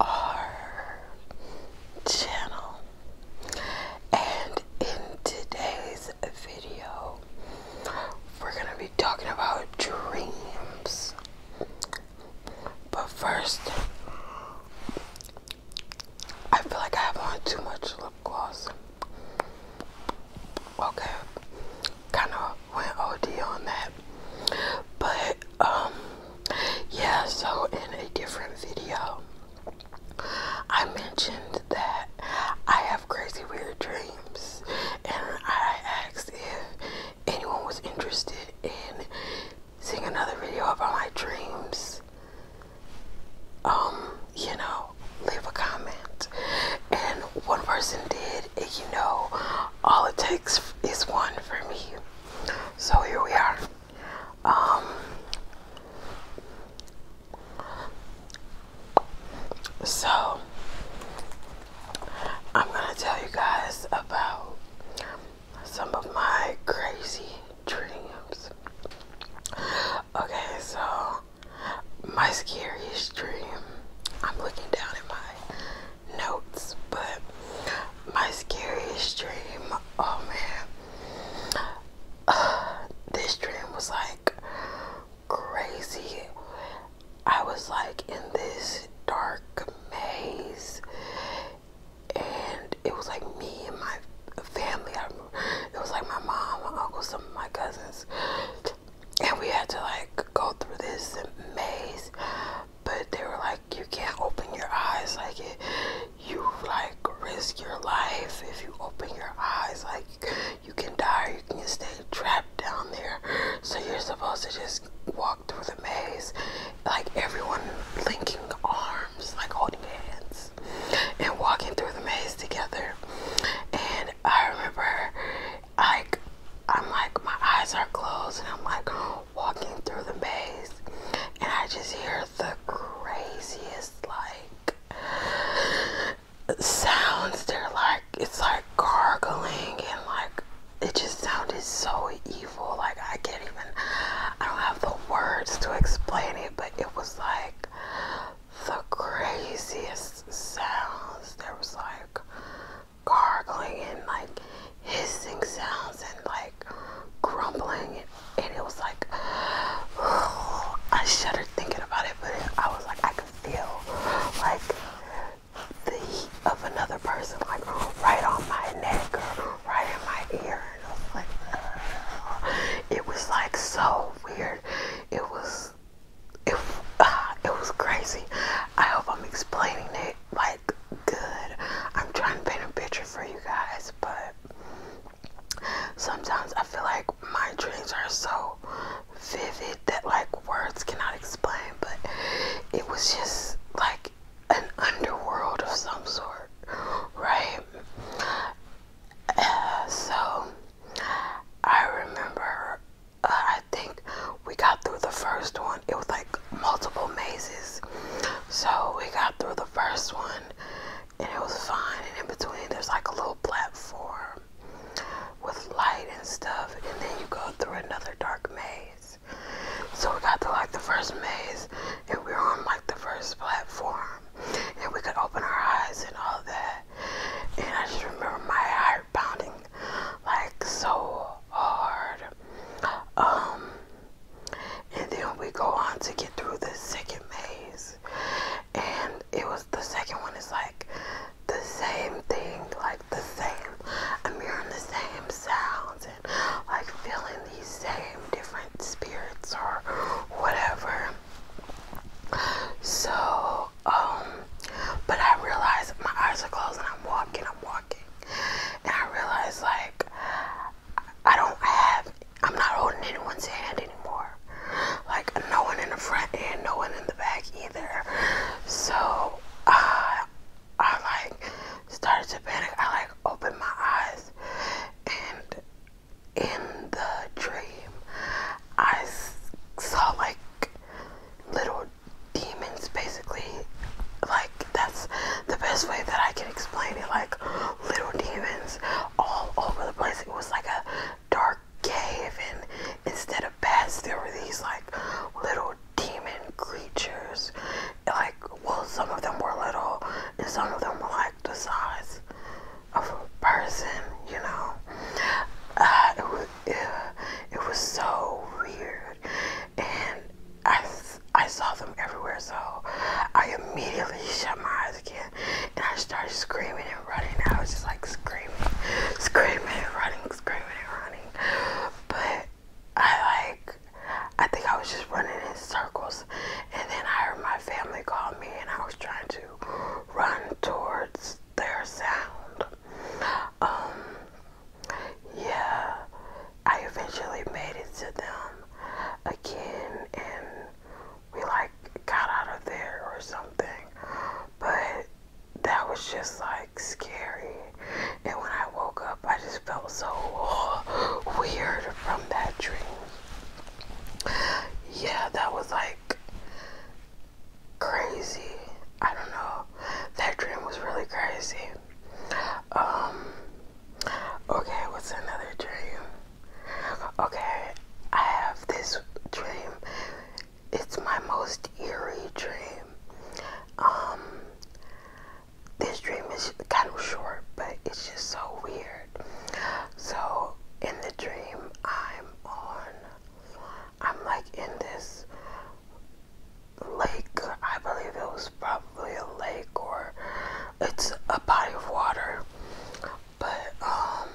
our channel and in today's video we're going to be talking about dreams but first I feel like I have on too much lip gloss okay kind of went OD on that but um, yeah, so in a different video, I mentioned that I have crazy weird dreams, and I asked if anyone was interested in seeing another video about my dreams. Um, you know, leave a comment. And one person did, and you know, all it takes is one for me. So here we are. Um, so I'm gonna tell you guys about some of my crazy dreams. Okay, so my scariest dream. I'm looking down at my notes, but my scariest dream, oh man, this dream was like crazy. I was like in this dark maze, and it was like me and my family. I, it was like my mom, my uncle, some of my cousins, and we had to like go through this maze, but they were like you can't open your eyes like it you like risk your life if you open your eyes like you can die you can stay trapped down there so you're supposed to just walk through the maze like everyone linking arms like holding hands and walking through the maze together and I remember like I'm like my eyes are closed and I'm like walking through the maze and I just hear the craziest like sounds. They're like it's like gargling and like it just sounded so evil. Like I can't even I don't have the words to explain it, but it was like the craziest sounds. There was like gargling and like hissing sounds and like grumbling and it was like I shuddered thinking about it but I was like I could feel like the heat of another person like right on my neck or right in my ear and I was like oh. it was like so weird it was it was crazy I hope I'm explaining it like good. I'm trying to paint a picture for you guys, but sometimes I feel like my dreams are so vivid that like words cannot explain, but it was just like an underworld of some sort, right? Uh, so I remember, uh, I think we got through the first one. It was like multiple mazes. So we got through the first one and it was fine. And in between, there's like a little platform with light and stuff. And then you go through another dark maze. So we got through like the first maze and we were on like the first platform. And we could open our eyes and all that. And I just remember my heart pounding like so hard. Um, and then we go on to get through the second maze, and it was the second one is like the same thing, like the same. I'm hearing the same sounds and like feeling these same different spirits or whatever. So, um, but I realize my eyes are closed and I'm walking, I'm walking and I realized like I don't have, I'm not holding anyone's hand anymore. Like no one in the front and no one in the back either. So uh, I like started to panic. I like opened my eyes, and in the dream, I saw like little demons basically like that's the best way that I can explain it like little demons all over the place it was like a dark cave and instead of bats there were these like little demon creatures like well some of them were little and some of them were like the size of a person you know uh, it, was, it was so weird and I, I saw them everywhere, so I immediately shut my eyes again and I started screaming and running. I was just like screaming, screaming and running, screaming and running. But I like, I think I was just running in circles, and then I heard my family call me, and I was trying to run towards their sound. Um, yeah, I eventually made it to them again and we like got out of there or something. But that was just like scary. And when I woke up, I just felt so weird from that dream. Yeah, that was like crazy. I don't know. That dream was really crazy. Um, okay, what's another dream? Okay, I have this dream. It's my most eerie dream. Um, this dream is kind of short, but it's just so weird. So, in the dream, I'm on, I'm like in this lake. I believe it was probably a lake or it's a body of water. But um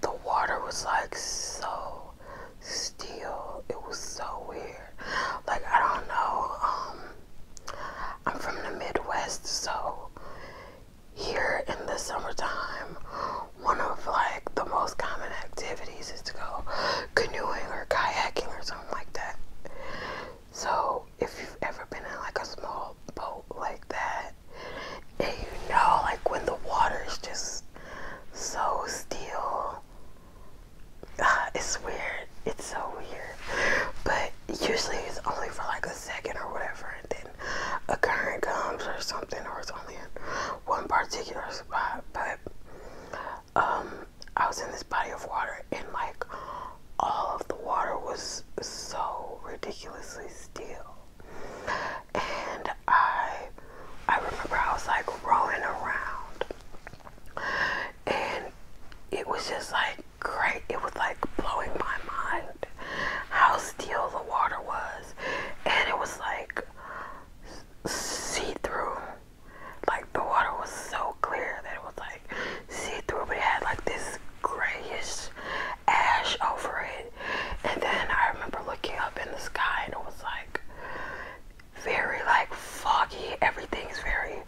the water was like so still. It was so weird. Like I don't know. Um I'm from the Midwest, so here in the summertime, one of like the most common activities is to go canoeing or kayaking or something like that. So if you've ever been in like a small boat like that, and you know like when the water is just so still, ah, it's weird. It's so weird. But usually it's only for like a second or whatever, and then a current comes or something, or it's only in one particular spot. But um, I was in this body of water, and like all of the water was so ridiculously still. And I, I remember I was like rolling around, and it was just like great. It was like blowing my mind how still the water was, and it was like see through like the water was so clear that it was like see through, but it had like this grayish ash over it. And then I remember looking up in the sky and it was like very like foggy. Everything's very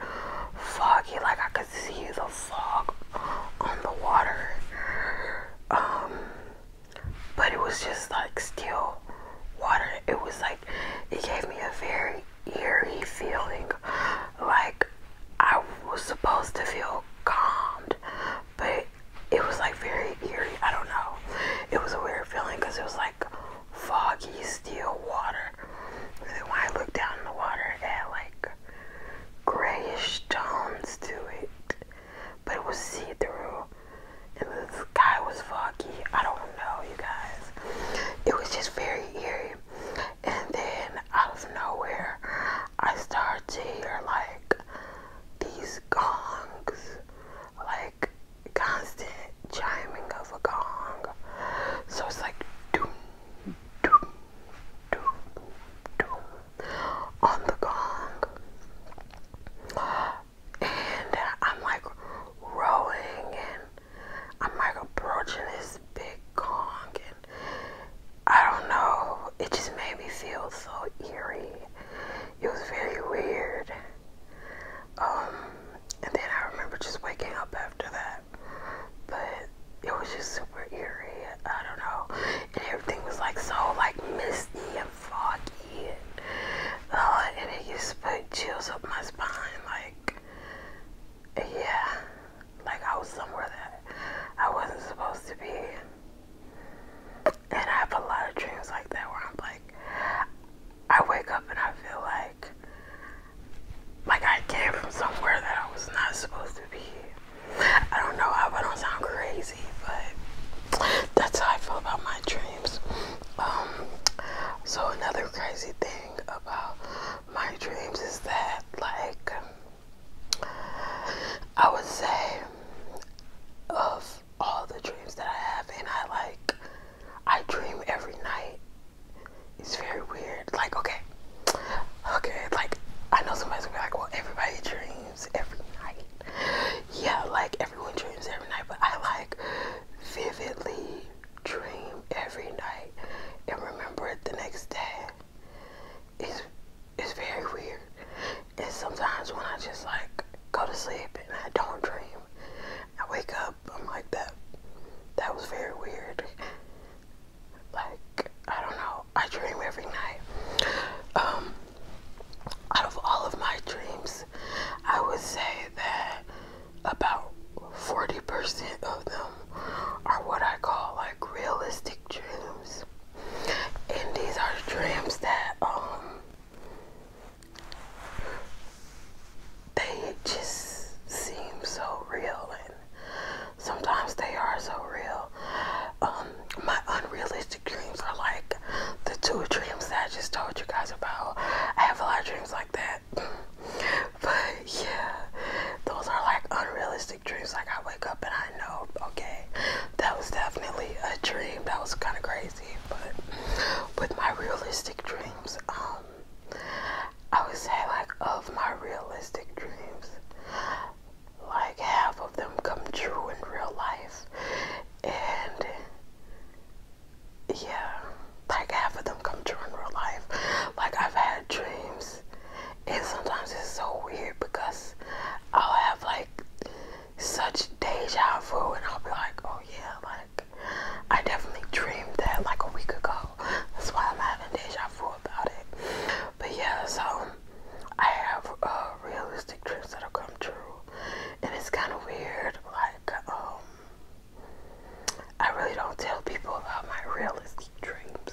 foggy. Like I could see the fog on the water. Um but it was just like still water. It was like it gave me a very eerie feeling, like I was supposed to feel calmed, but it, was like very eerie. I don't know. It was a weird feeling because it was like foggy, still water. And when I looked down in the water, it had like grayish tones to it, but it was see through and the sky was foggy. I don't know, you guys. It was just very eerie. And then out of nowhere, I started to hear like these gongs, like constant chiming of a gong. So it's like doom, doom, doom, doom on the gong and I'm like rowing and I'm like approaching this big gong and I don't know it just made me feel so eerie it was very weird um, and then I remember just waking up after that but it was just super eerie I don't know and everything was like so like misty Fuck yeah! uh, and it used to put chills up my spine like yeah like I was somewhere that I wasn't supposed to be and I have a lot of dreams like that where I'm like I wake up and I feel like like I came from somewhere that I was not supposed to be I don't know I don't sound crazy but that's how I feel about my dreams um, so another crazy thing about my dreams is that, like, I would say of all the dreams that I have, and I like, I dream every night. It's very weird. Like, okay, okay, like, I know somebody's gonna be like, well, everybody dreams every night. Yeah, like, everyone dreams every night, but I like vividly dream every night and remember it the next day. It's it's very weird. And sometimes when I just like go to sleep and I don't dream, I wake up, I'm like that that was very weird. Like, I don't know. I dream every night. Um out of all of my dreams I would say that about 40% of them are what I call like realistic dreams. And these are dreams that, um, they just seem so real and sometimes they are so real. Um, my unrealistic dreams are like the two dreams that I just told you guys about. I have a lot of dreams like that. but yeah, those are like unrealistic dreams. Like I wake up and I know, okay, that was definitely a dream. That was kind of crazy. But with my realistic dreams, um, I would say like of my realistic dreams, like half of them come true in real life, and yeah, like half of them come true in real life. Like I've had dreams, and sometimes it's so weird because I'll have like such deja vu, and I'll be like, oh yeah, like I definitely dreamed that like a week ago. That's why I'm having deja vu about it. But yeah, so I have uh, realistic dreams that have come true, and it's kind of weird. Like, um, I really don't tell people about my realistic dreams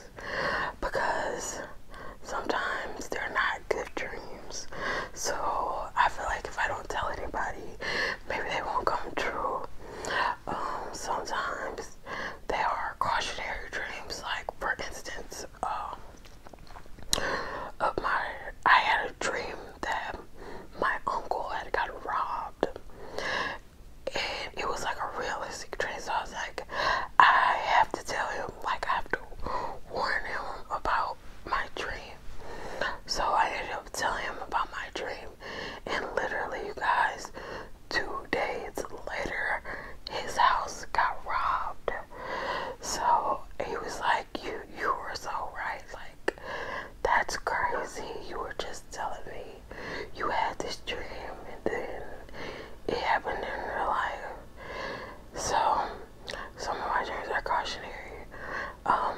because sometimes they're not good dreams. So I feel like if I don't tell anybody, maybe they won't come true. Um, sometimes they are cautionary dreams, like for instance, um, of my I had a dream that my uncle had got robbed. And it was like a realistic dream. So I was like, I have to tell him, like I have to warn him about my dream. So I ended up telling him about my dream. And literally you guys two days later his house got robbed. So he was like, "You, you were so right. Like, that's crazy. You were just telling me you had this dream, and then it happened in real life." So, some of my dreams are cautionary. Um,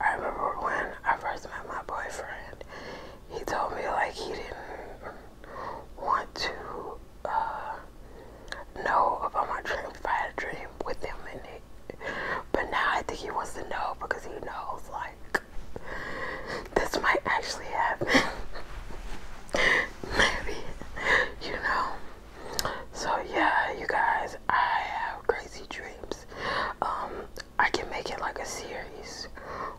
I remember when I first met my boyfriend, he told me like he didn't want to uh, know about my dreams if I had a dream with him in it. But now I think he wants to know because he knows like this might actually happen. Maybe, you know. So yeah, you guys, I have crazy dreams. Um, I can make it like a series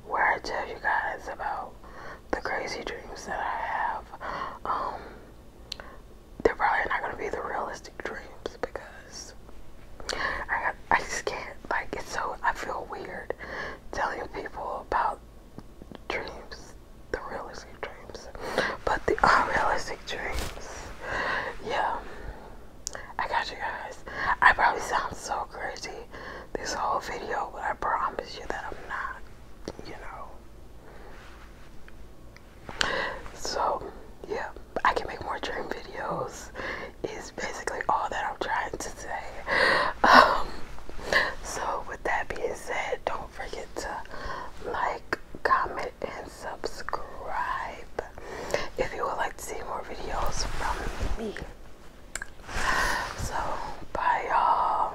where I tell you guys about the crazy dreams that I have. Um, they're probably not gonna be the realistic dreams because I I just can't like it's so I feel weird telling people about dreams, the realistic dreams, but the unrealistic dreams. Yeah, I got you guys. I probably sound so crazy this whole video, but I promise you that I'm not. You know, so, yeah, I can make more dream videos, is basically all that I'm trying to say. Um, so, with that being said, don't forget to like, comment, and subscribe if you would like to see more videos from me. So, bye, y'all.